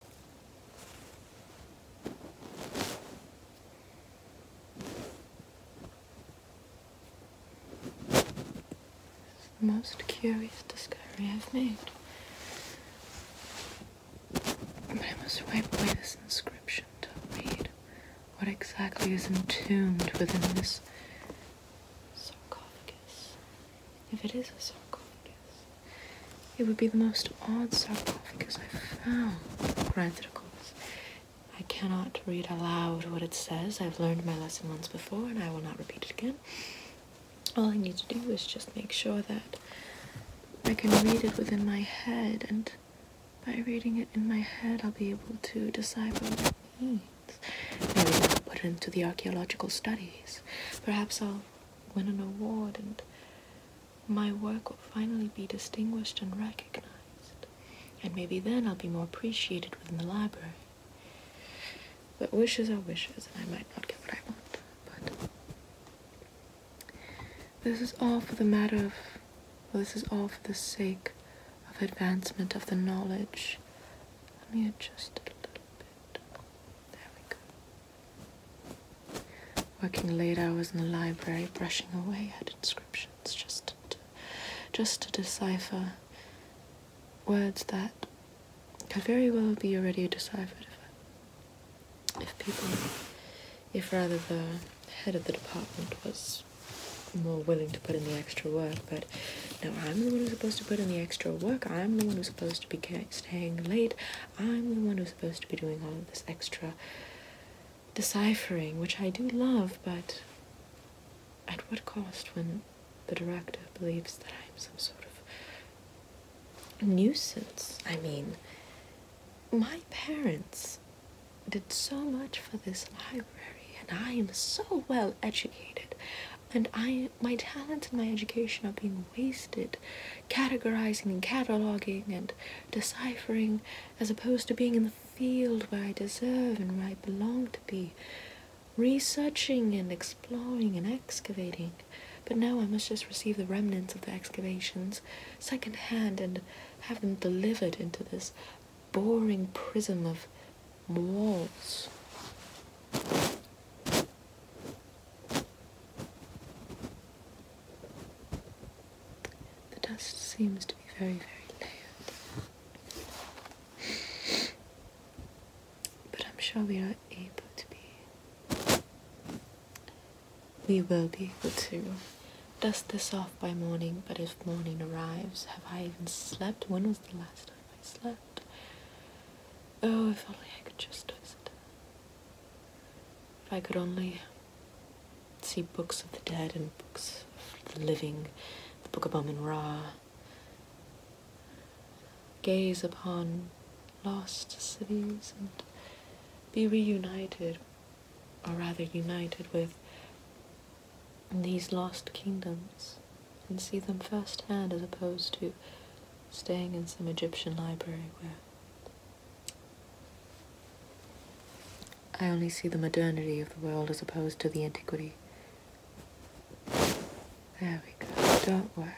the most curious discovery I've made. But I must wipe away this inscription to read what exactly is entombed within this sarcophagus. If it is a circle, I guess it would be the most odd circle because i found. Granted, of course, I cannot read aloud what it says. I've learned my lesson once before and I will not repeat it again. All I need to do is just make sure that I can read it within my head, and by reading it in my head, I'll be able to decipher what it means. Maybe I'll put it into the archaeological studies. Perhaps I'll win an award, and my work will finally be distinguished and recognized. And maybe then I'll be more appreciated within the library. But wishes are wishes, and I might not get what I want. But this is all for the matter of. this is all for the sake of advancement of the knowledge. Let me adjust a little bit. There we go. Working late hours in the library, brushing away at inscriptions just to, just to decipher words that could very well be already deciphered if, if people, if rather the head of the department was more willing to put in the extra work, but no, I'm the one who's supposed to put in the extra work. I'm the one who's supposed to be staying late. I'm the one who's supposed to be doing all of this extra deciphering, which I do love, but at what cost when the director believes that I'm some sort of nuisance? I mean, my parents did so much for this library, and I am so well educated and I my talents and my education are being wasted categorizing and cataloging and deciphering as opposed to being in the field where I deserve and where I belong to be researching and exploring and excavating but now I must just receive the remnants of the excavations secondhand and have them delivered into this boring prism of walls. The dust seems to be very, very layered. But I'm sure we are able to be. We will be able to dust this off by morning, but if morning arrives, have I even slept? When was the last time I slept? Oh, if only I could just visit. If I could only see books of the dead and books of the living, the Book of Amun Ra. Gaze upon lost cities and be reunited, or rather united with these lost kingdoms and see them firsthand as opposed to staying in some Egyptian library where I only see the modernity of the world as opposed to the antiquity. There we go. Don't worry.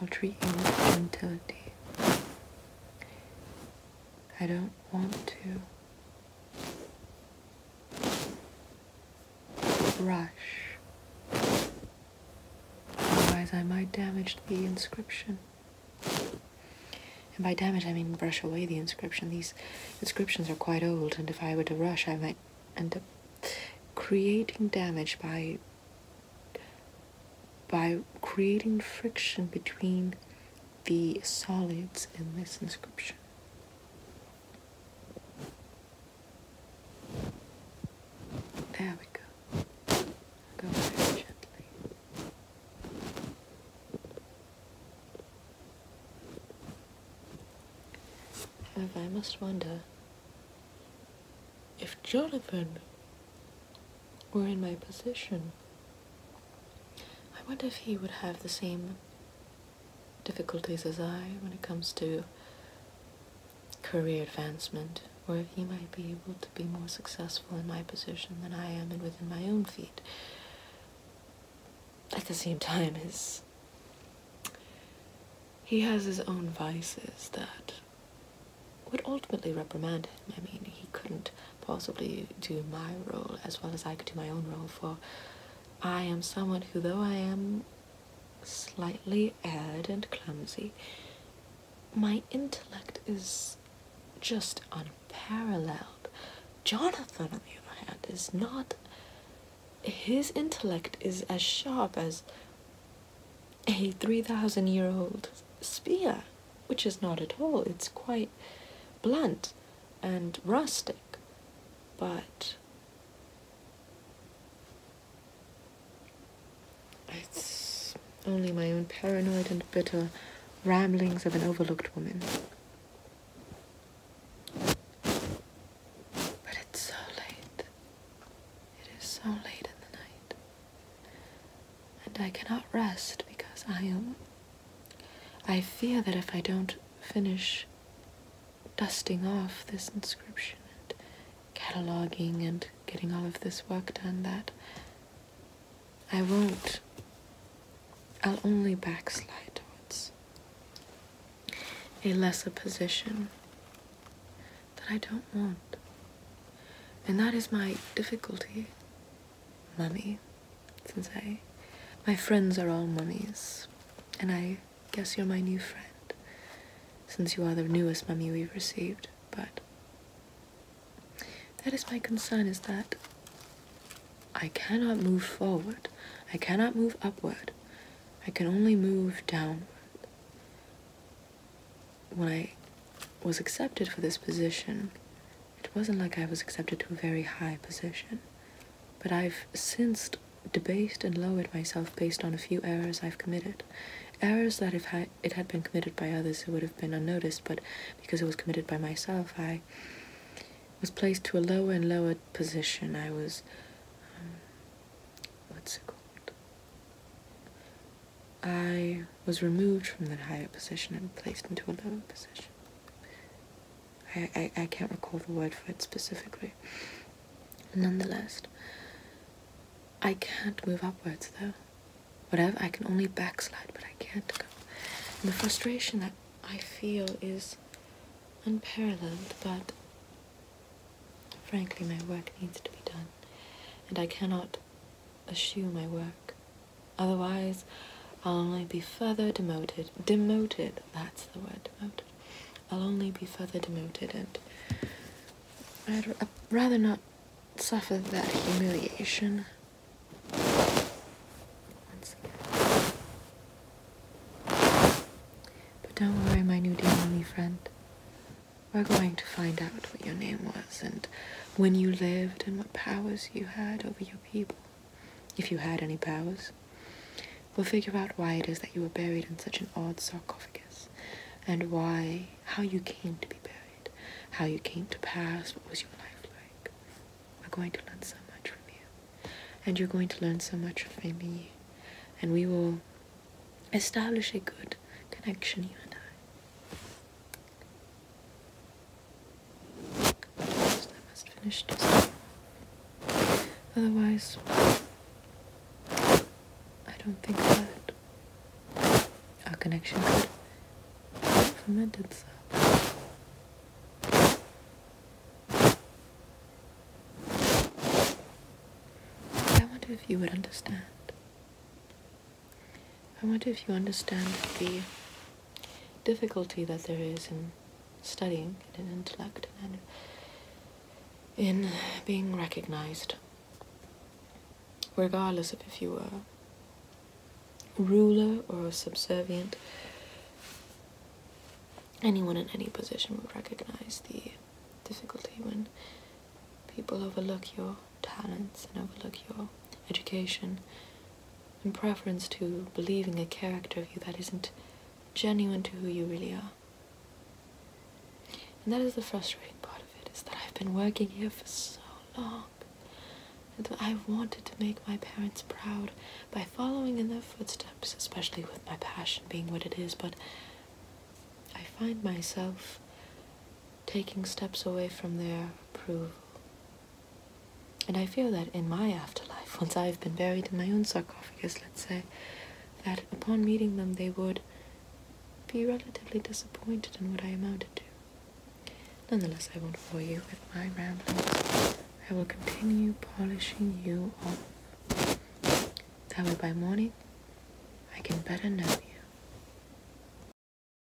I'll treat you with gentility. I don't want to brush. Otherwise, I might damage the inscription. And by damage, I mean brush away the inscription. These inscriptions are quite old, and if I were to rush, I might end up creating damage by by creating friction between the solids in this inscription. There we go. Go very gently. However, I must wonder if Jonathan were in my position, I wonder if he would have the same difficulties as I when it comes to career advancement, or if he might be able to be more successful in my position than I am and within my own feet. At the same time, his he has his own vices that would ultimately reprimand him. I mean, he couldn't possibly do my role as well as I could do my own role for I am someone who, though I am slightly aired and clumsy, my intellect is just unparalleled. Jonathan, on the other hand, is not. His intellect is as sharp as a 3,000 year old spear, which is not at all. It's quite blunt and rustic but it's only my own paranoid and bitter ramblings of an overlooked woman. But it's so late. It is so late in the night. And I cannot rest because I am. Um, I fear that if I don't finish dusting off this inscription and cataloging and getting all of this work done that I won't. I'll only backslide towards a lesser position that I don't want. And that is my difficulty money since I my friends are all mummies, and I guess you're my new friend since you are the newest mummy we've received, but that is my concern is that I cannot move forward. I cannot move upward. I can only move downward. When I was accepted for this position, it wasn't like I was accepted to a very high position but I've since debased and lowered myself based on a few errors I've committed. Errors that if it had been committed by others, it would have been unnoticed, but because it was committed by myself, I was placed to a lower and lower position. I was, um, what's it called? I was removed from that higher position and placed into a lower position. I, I, can't recall the word for it specifically. Nonetheless, I can't move upwards though. Whatever, I can only backslide, but I can't go. the frustration that I feel is unparalleled, but frankly, my work needs to be done, and I cannot eschew my work. Otherwise, I'll only be further demoted. Demoted, that's the word, demoted. I'll only be further demoted, and I'd, rather not suffer that humiliation. But don't worry, my new demon friend. We're going to find out what your name was and when you lived and what powers you had over your people if you had any powers, we will figure out why it is that you were buried in such an odd sarcophagus, and why, how you came to be buried, how you came to pass, what was your life like. We're going to learn so much from you, and you're going to learn so much from me, and we will establish a good connection, you and I. I must finish this. Otherwise, I don't think that our connection could ferment itself. I wonder if you would understand. I wonder if you understand the difficulty that there is in studying in intellect and in being recognized, regardless of if you are ruler or subservient. Anyone in any position would recognize the difficulty when people overlook your talents and overlook your education in preference to believing a character of you that isn't genuine to who you really are. And that is the frustrating part of it, is that I've been working here for so long. And I've wanted to make my parents proud by following in their footsteps, especially with my passion being what it is, but I find myself taking steps away from their approval and I feel that in my afterlife, once I've been buried in my own sarcophagus, let's say, that upon meeting them they would be relatively disappointed in what I amounted to. Nonetheless, I won't bore you with my ramblings. I will continue polishing you off. That way by morning, I can better know you.